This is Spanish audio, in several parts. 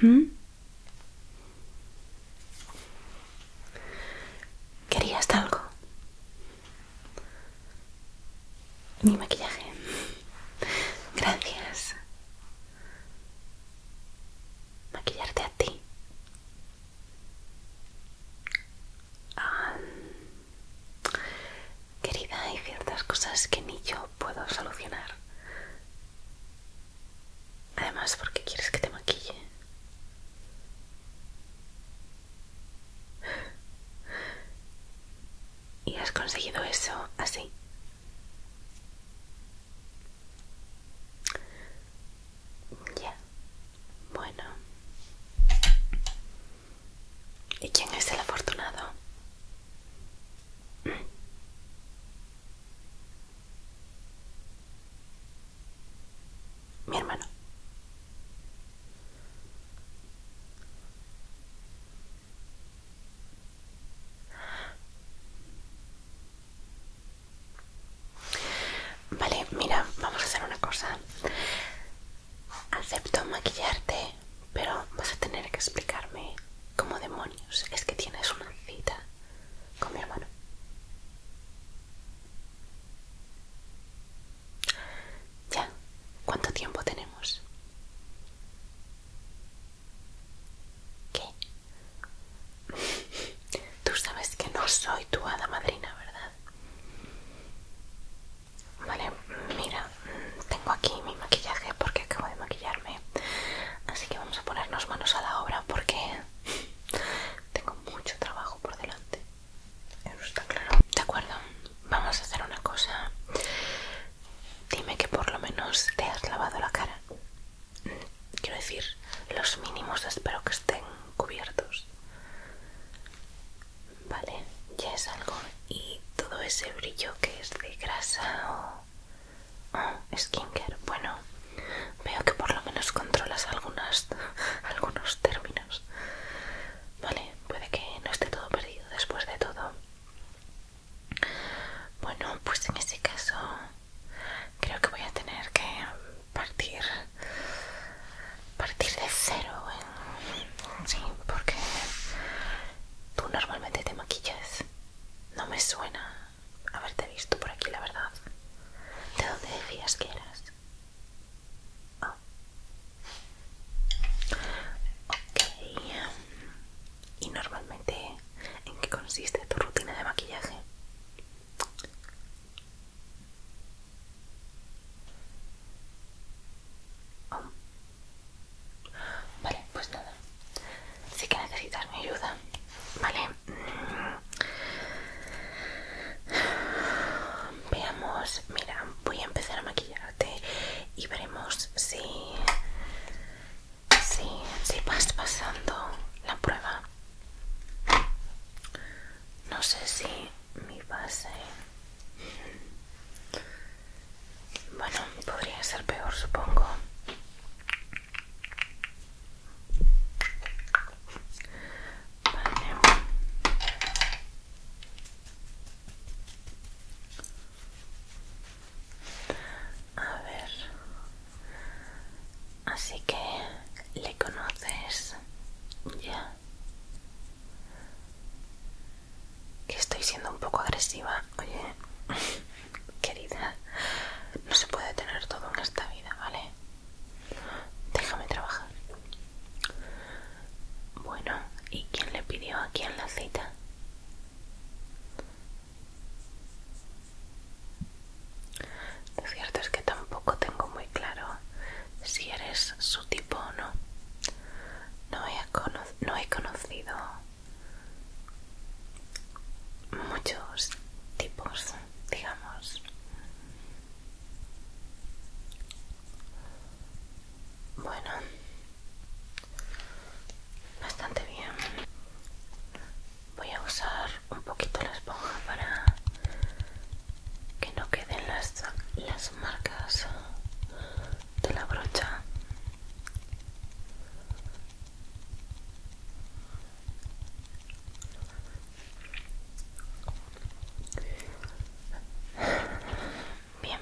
Hmm. ¿Querías algo? Mi maquillaje. Gracias. Maquillarte a ti querida, hay ciertas cosas que ni yo puedo solucionar. Además, ¿por qué quieres que te maquille? ¿Y has conseguido eso así? Ya, bueno. ¿Y quién es el afortunado? Mi hermano. Vale, mira, vamos a hacer una cosa. Acepto maquillarte, pero vas a tener que explicarme cómo demonios es que tienes una cita con mi hermano. Ya, ¿cuánto tiempo tenemos? ¿Qué? Tú sabes que no soy tu hada madrina, ¿verdad? Vale, mira, mm, tengo aquí mi maquillaje porque acabo de maquillarme. Así que vamos a ponernos manos a la obra porque tengo mucho trabajo por delante. Eso está claro. De acuerdo, vamos a hacer una cosa. Dime que por lo menos te has lavado la cara quiero decir, los mínimos espero que estén cubiertos. Vale, ya es algo. Y todo ese brillo que es de grasa o skin skincare. Bueno, veo que por lo menos controlas algunas, algunos términos. Vale, puede que no esté todo perdido después de todo. Bueno, pues en ese caso Creo que voy a tener que partir partir de cero sí, porque tú normalmente te maquillas. No me suena haberte visto por aquí, la verdad. ¿De dónde decías que eras? Ah. Ok. ¿Y normalmente en qué consiste tu rutina de maquillaje? Vale, pues nada. Sí que necesitas mi ayuda. Vale. Veamos, mira, voy a empezar a maquillarte y veremos si vas pasando la prueba. No sé si mi base... Bueno, podría ser peor, supongo. A ver. Así que le conoces ya. Que estoy siendo un poco agresiva. Oye, querida, no se puede tener todo en esta vida, ¿vale? Déjame trabajar. Bueno, ¿y quién le pidió aquí quién la cita? Lo cierto es que tampoco tengo muy claro si eres su tipo o no. No he, no he conocido muchos tipos, digamos. Bueno, bastante bien voy a usar un poquito la esponja para que no queden las, las marcas de la brocha Bien,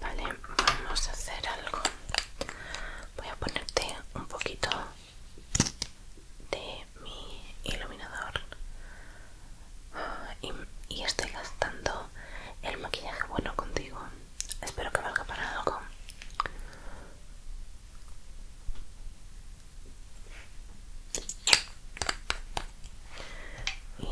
Vale, vamos a hacer algo. Voy a ponerte un poquito de mi iluminador. Y, estoy gastando el maquillaje bueno contigo. Espero que valga para algo. Y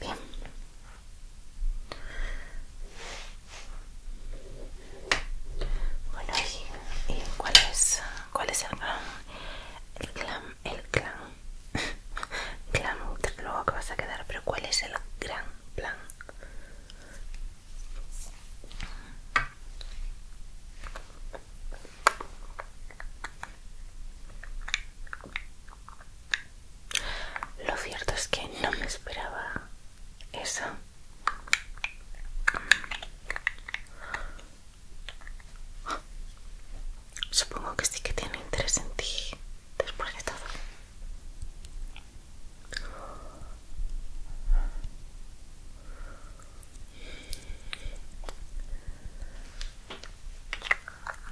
Bien. Bueno, ¿y, cuál es, cuál es el clan? El clan, el clan. clan, luego que vas a quedar, pero ¿cuál es el gran plan? Lo cierto es que no me esperaba eso. Supongo que sí que tiene interés en ti después de todo.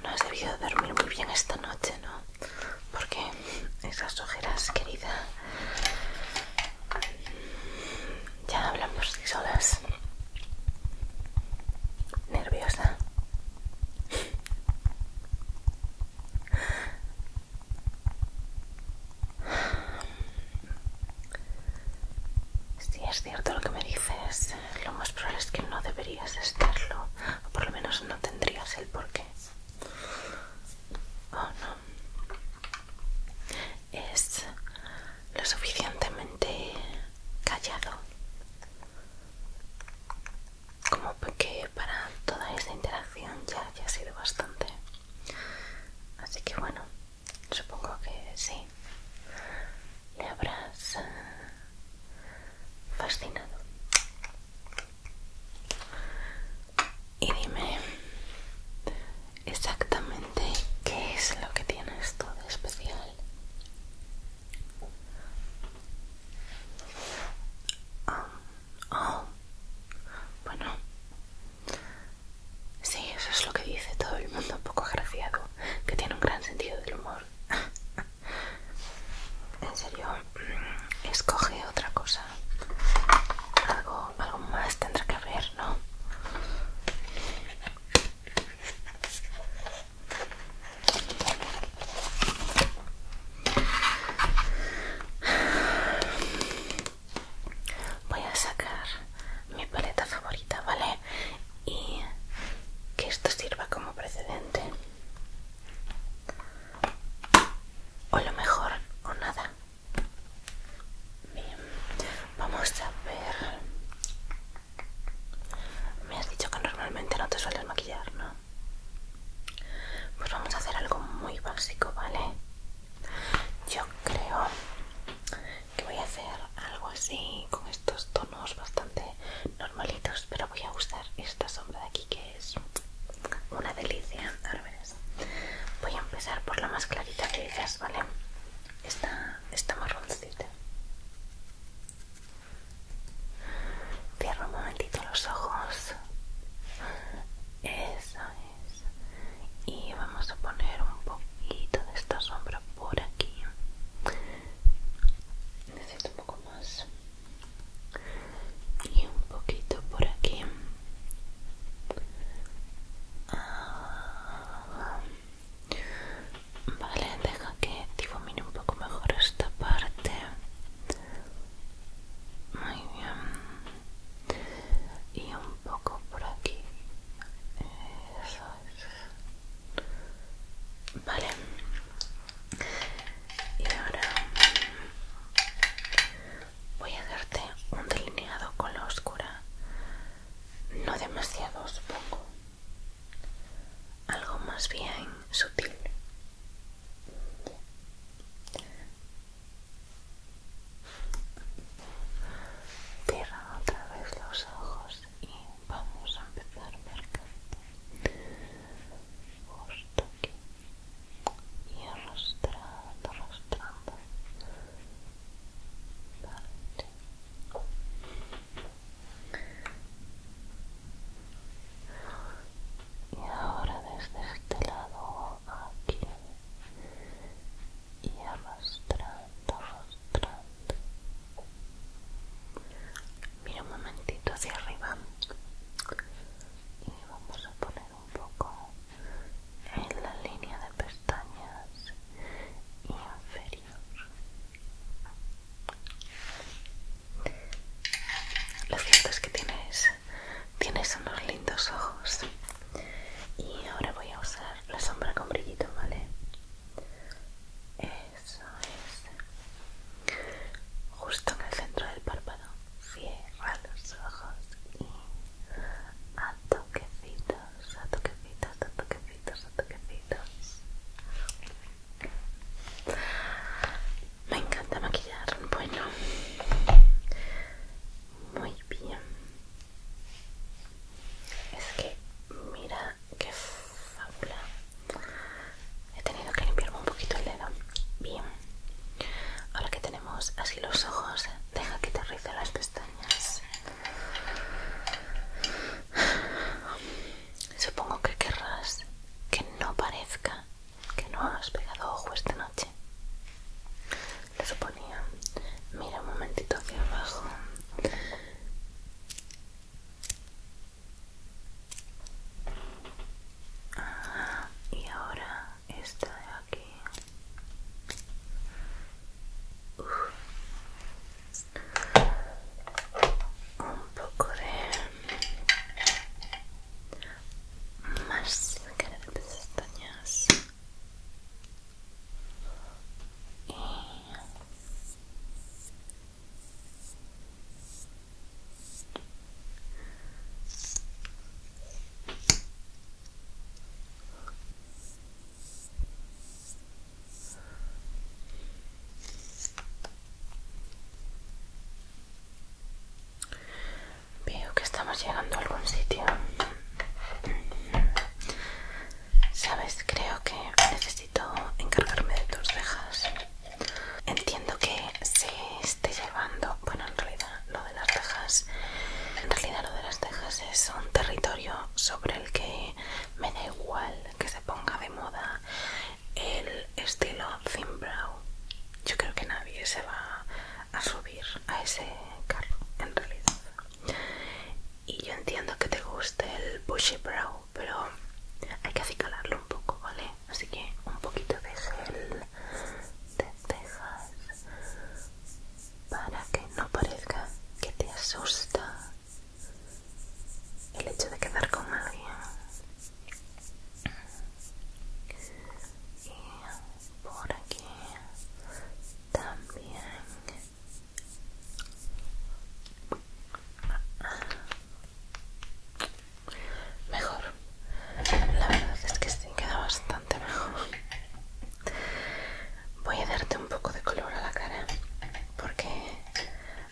No has debido dormir muy bien esta noche, ¿no? Porque esas ojeras, querida, ya hablamos por sí solas. Nerviosa. Si es cierto lo que me dices, lo más probable es que no deberías estarlo, o por lo menos no tendrías el porqué. o oh, no. Es lo suficientemente callado como que para toda esta interacción ya, ya ha sido bastante. Así que bueno, supongo que sí. Le habrás eh, fascinado. Y dime exactamente qué es lo que tienes tú de especial. ah Oh, bueno. Sí, eso es lo que dice todo el mundo un poco agraciado, que tiene un gran sentido del humor. en serio, mm, escoge otra cosa. Algo, algo más tendrá que haber, ¿no? Voy a sacar mi paleta favorita, ¿vale? Y que esto sirva como precedente. O lo mejor, o nada. Bien, vamos a ver. Me has dicho que normalmente no te sueles maquillar, ¿no? Pues vamos a hacer algo muy básico, ¿vale? Yo creo que voy a hacer algo así con estos tonos bastante normalitos, pero voy a usar esta sombra de aquí que es una delicia. Voy a empezar por la más clarita de ellas, ¿vale? Esta, esta marroncita. Cierro un momentito los ojos. Eso es. Y vamos a poner un poquito de esta sombra por aquí. Necesito un poco más. Y un poquito por aquí. Ah. vale, deja que difumine un poco mejor esta parte muy bien y un poco por aquí eso es vale y ahora voy a darte un delineado con la oscura no demasiado supongo algo más bien sutil Cierra otra vez los ojos y vamos a empezar marcando justo aquí y arrastrando, arrastrando y ahora desde este lado aquí y arrastrando, arrastrando mira un momentito hacia arriba y vamos a poner un poco en la línea de pestañas inferior lo cierto es que tienes, unos lindos ojos. Y ahora voy a usar la sombra con brillito, ¿vale? Eso es. Justo en el centro del párpado. Cierra los ojos y a toquecitos, a toquecitos, a toquecitos, a toquecitos. Me encanta maquillar. Bueno, muy bien. Es que mira qué fábula. He tenido que limpiarme un poquito el dedo. Bien. Ahora que tenemos así los ojos, deja que te las pestañas. Supongo que querrás que no parezca que no has pegado ojo esta noche. Lo suponía. Mira un momentito hacia abajo. Ah, y ahora esta de aquí un poco de más máscara de pestañas y Veo que estamos llegando a algún sitio. Sabes, creo que necesito encargarme de tus cejas. Entiendo que se esté llevando, bueno, en realidad lo de las cejas, en realidad lo de las cejas es un territorio sobre el que me da igual que se ponga de moda el estilo thin brow yo creo que nadie se va a subir a ese carro en realidad y yo entiendo que te guste el bushy brow pero hay que acicalarlo un poco vale así que un poquito de gel de cejas para que no parezca que te asusta el hecho de quedar con alguien y por aquí también mejor la verdad es que sí queda bastante mejor voy a darte un poco de color a la cara porque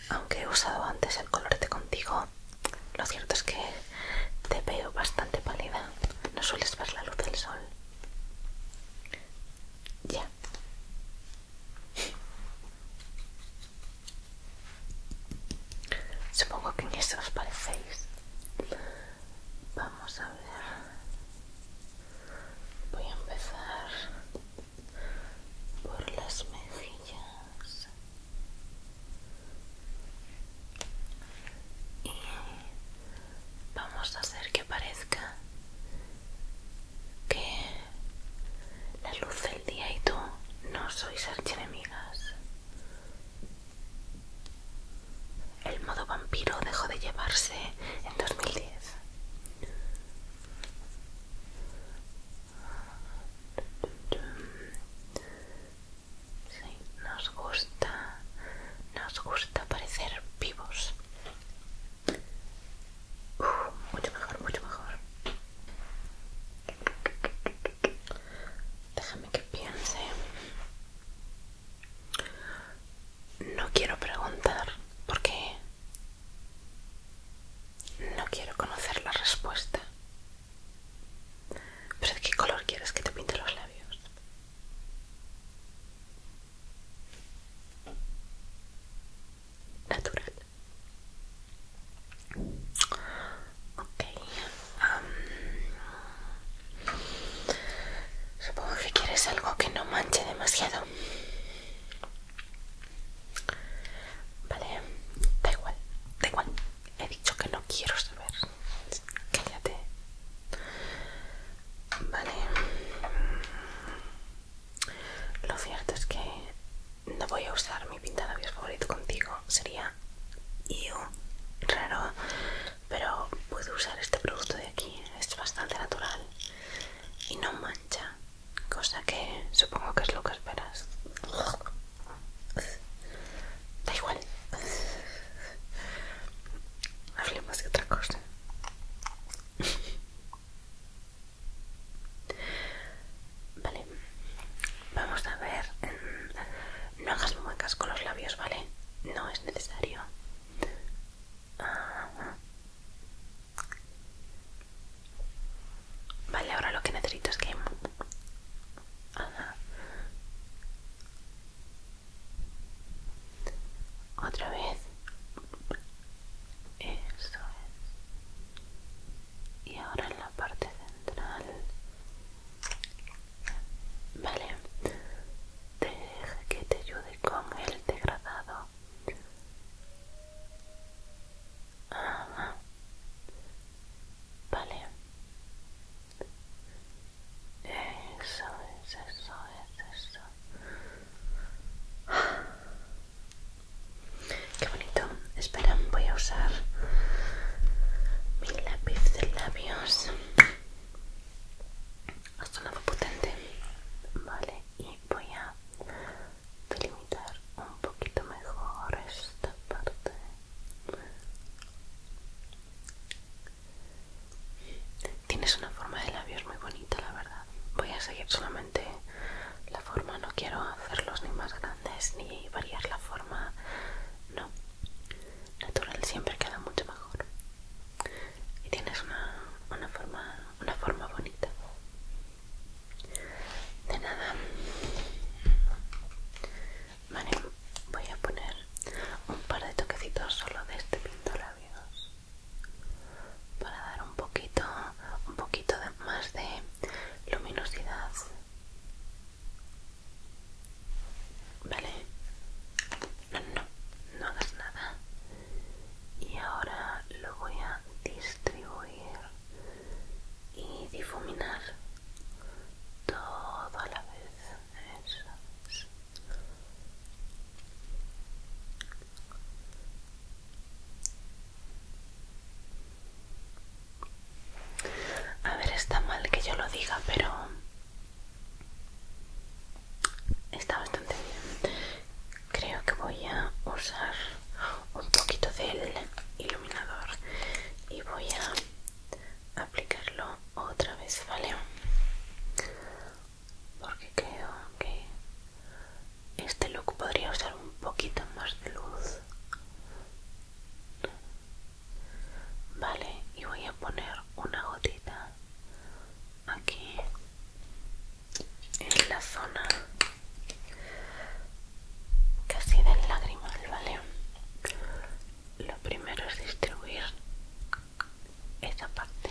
aunque he usado antes el color de contigo, lo cierto es que te veo bastante pálida. No sueles ver la luz del sol. Ya. Supongo que en eso os parecéis. Vamos a ver. Voy a empezar por las mejillas y vamos a hacer que parezca que la luz del día y tú no sois archienemigas. El modo vampiro dejó de llevarse en 2010 nos gusta, nos gusta parecer vivos. Uh, mucho mejor, mucho mejor. Déjame que piense. No quiero preguntar por qué no quiero conocer la respuesta. ¿Pero de qué color quieres que te pinte los labios? Natural. Ok. supongo que quieres algo que no manche demasiado. Vale, da igual, da igual. He dicho que no quiero saber. Cállate. Vale. Lo cierto es que no voy a usar mi pinta labios favorito contigo. Sería raro, pero puedo usar este producto de aquí. Es bastante natural y no mancha cosa que supongo que es lo que esperas. Da igual. Hablemos de otra cosa. Vale, vamos a ver. No hagas muecas con los labios, ¿vale? No es necesario. Vale, ahora lo que necesito es que... Otra vez. Eso es. Y ahora en la parte central. Vale. Deja que te ayude con el degradado. Vale. Eso es, eso eso. Qué bonito. Espera, voy a usar mi lápiz de labios. un lado potente. Vale, voy a delimitar un poquito mejor esta parte tienes una forma de labios muy bonita la verdad voy a seguir solamente la forma no quiero hacerlos ni más grandes ni variar la forma no natural siempre queda mucho mejor y tienes una, una, forma, una forma bonita. De nada. Vale, voy a poner un par de toquecitos solo de este pintolabios para dar un poquito, un poquito más de luminosidad. Vale. No, no, no hagas nada y ahora lo voy a distribuir y difuminar todo a la vez A ver, está mal que yo lo diga, pero Está bastante bien. Creo que voy a usar un poquito del iluminador y voy a aplicarlo otra vez, ¿vale? Porque creo que este look podría usar un poquito más de luz. Vale, y voy a poner una gotita aquí en la zona casi del lagrimal, ¿vale? Lo primero es distribuir esa parte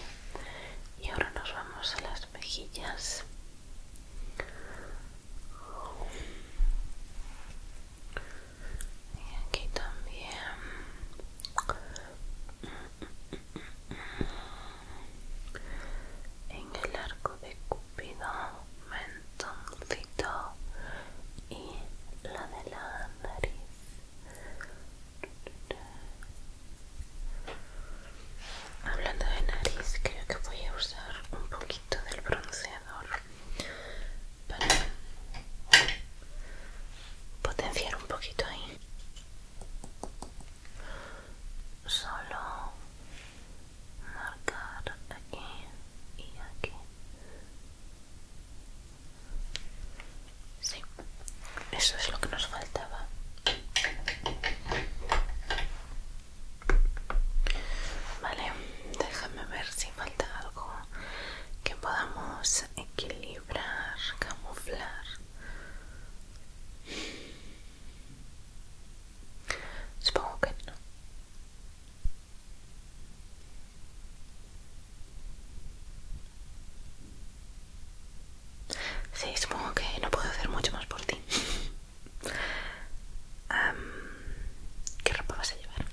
y ahora nos vamos a las mejillas. Y aquí también en el arco de Cupido, mentoncito y la de la nariz. Hablando de nariz, creo que voy a usar un poquito del bronceador para potenciar un poquito ahí solo marcar aquí y aquí sí eso es lo que nos faltaba vale déjame ver si falta algo que podamos equilibrar Camuflar, camuflar. Supongo que no. Sí, supongo que no puedo hacer mucho más por ti. ¿Qué ropa vas a llevar?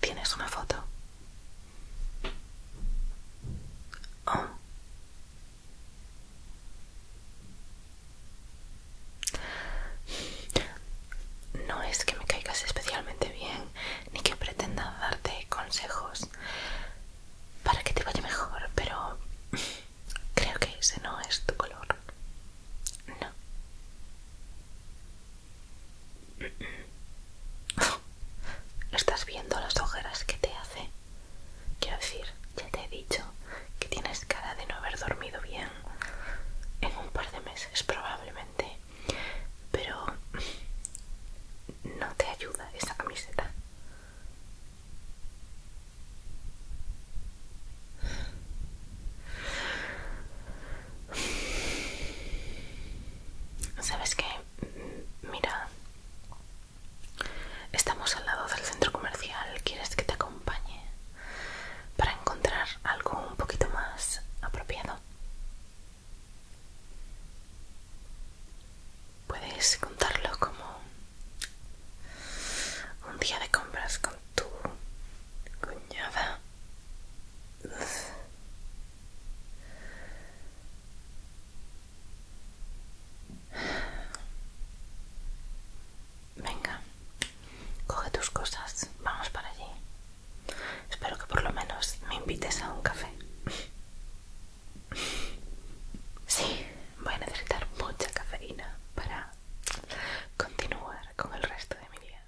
¿Tienes una foto? Oh. No es que me caigas especialmente bien, ni que pretenda darte consejos para que te vaya mejor, pero... Creo que ese no es tu color. No. ¿Estás viendo las ojeras que te hace? Quiero decir, ya te he dicho que tienes cara de no haber dormido bien en un par de meses probablemente, pero no te ayuda esa camiseta. ¿Sabes qué? Mira, estamos al lado del centro comercial. ¿Quieres que te acompañe para encontrar algo un poquito más apropiado? puedes contarlo como un día de compras con tu cuñada. Venga, coge tus cosas, vamos para allí. Espero que por lo menos me invites a un café. Sí, voy a necesitar mucha cafeína para continuar con el resto de mi día.